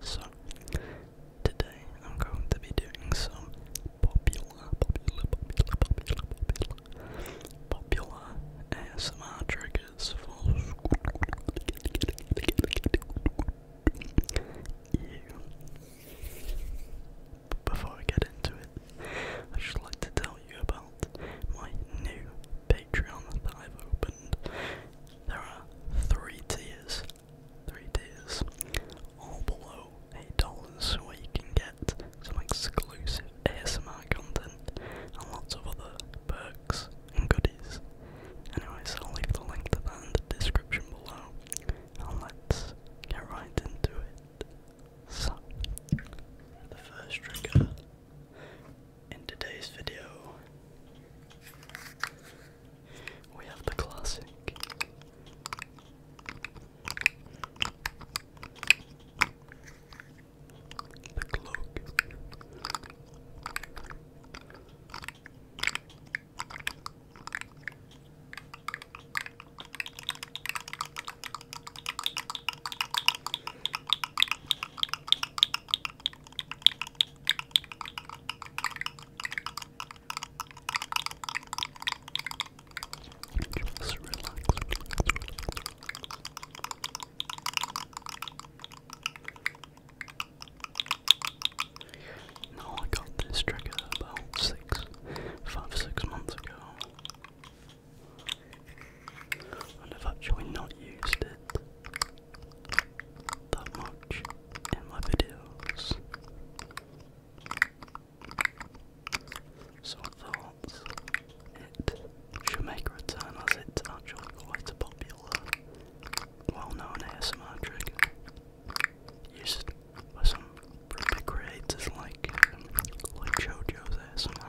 So, today I'm going to be doing some popular, popular, popular, popular, popular, popular ASMR triggers for you. Before I get into it, I'd just like to tell you about my new Patreon that I've opened. There are three tiers three days, all below $8 where you can get some exclusive ASMR content and lots of other perks and goodies. Anyways, I'll leave the link to that in the description below and let's get right into it. So, the first trigger in today's video we have the classic. The cloak. Just I got this trigger about six, five, six months ago. And I've actually not used it that much in my videos. So I thought it should make return as it's actually quite a popular, well-known ASMR trigger used by some pretty creators like JoJo's ASMR.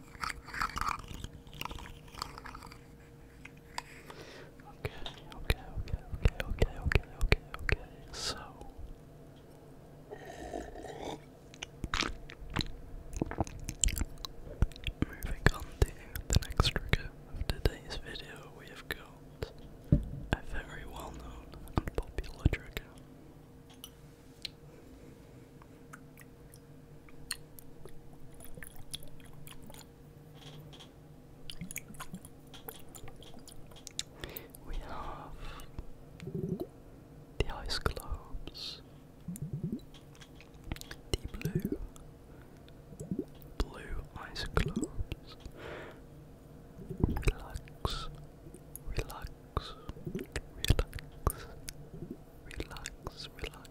Okay, okay, okay, okay, okay, okay, okay, okay. So moving on to the next trigger of today's video, we have got a very well known and popular trigger. We have the ice globes, the blue, blue ice globes. Relax, relax, relax, relax, relax.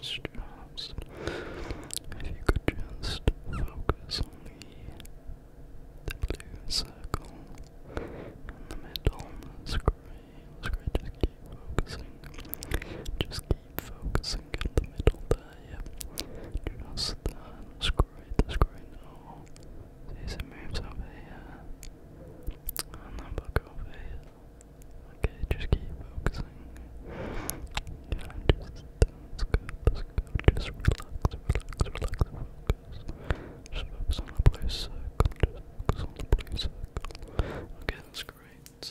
Just, if you could just focus on the, blue circle in the middle of just keep focusing. Just keep focusing in the middle there, Just that, uh, screw oh, it, screw it now. See, it and then back over here. Okay, just keep focusing. just, focus. on the blue just focus on the blue Okay, that's great.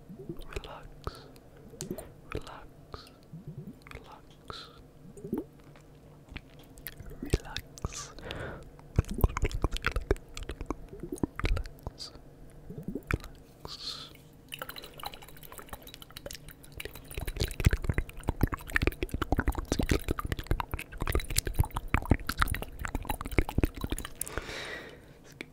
relax, relax, relax, relax, relax, relax. Skip,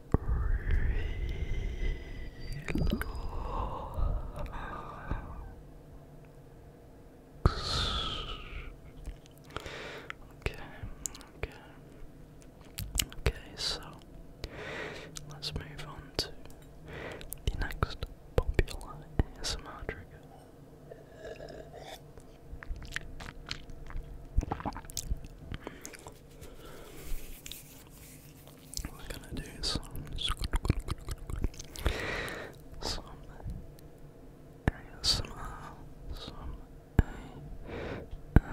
Okay, okay, okay, so let's move on to the next popular ASMR trigger. We're gonna do some some ASMR, some uh, ASMR.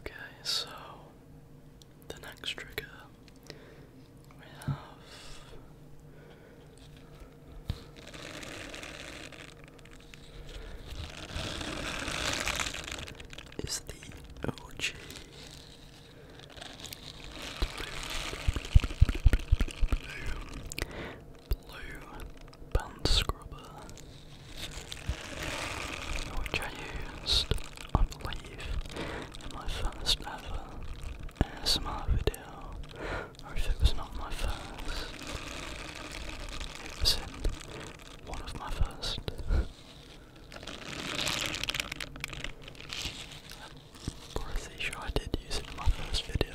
Okay, so the next trigger we have is the OG blue blue blue blue band scrubber, which I used, I believe, in my first ever ASMR video, or if it was not my first, it one of my first. I'm pretty I did use it in my first video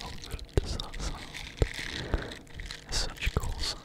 How does that sound? such a cool sound.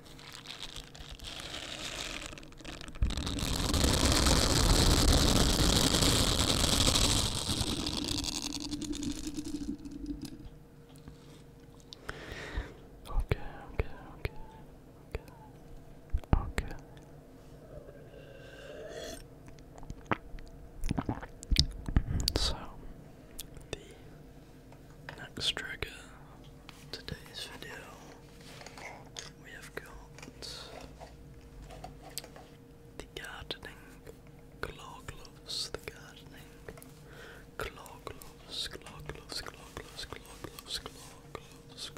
Okay, okay, okay, okay, okay. So, the next trigger today's video, we have got the gardening gloves, the gardening claw gloves, gloves, gloves, gloves, gloves, gloves.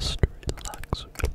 Just relax, okay?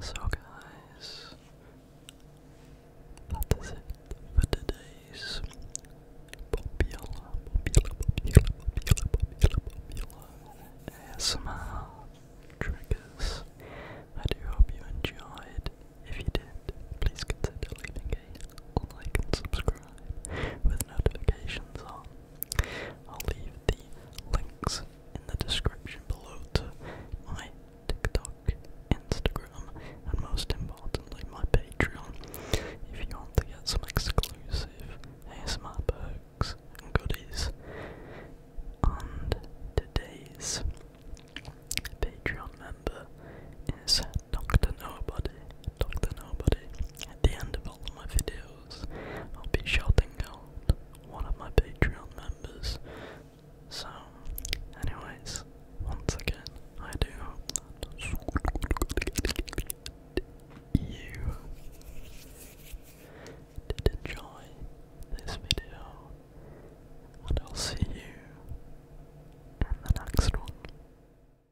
So, guys, that is it for today's popular, popular, popular, popular, popular, popular ASMR triggers. I do hope you enjoyed. If you did, please consider leaving a like and subscribe with notifications on. I'll leave the links in the description below to my TikTok, Instagram, and most importantly, my Patreon if you want to get some exclusive ASMR perks and goodies. And today's Patreon member is Dr. Nobody. Dr. Nobody. At the end of all my videos, I'll be shouting out one of my Patreon members. So, anyways, once again, I do hope that you enjoyed this video, and I'll see you in the next one.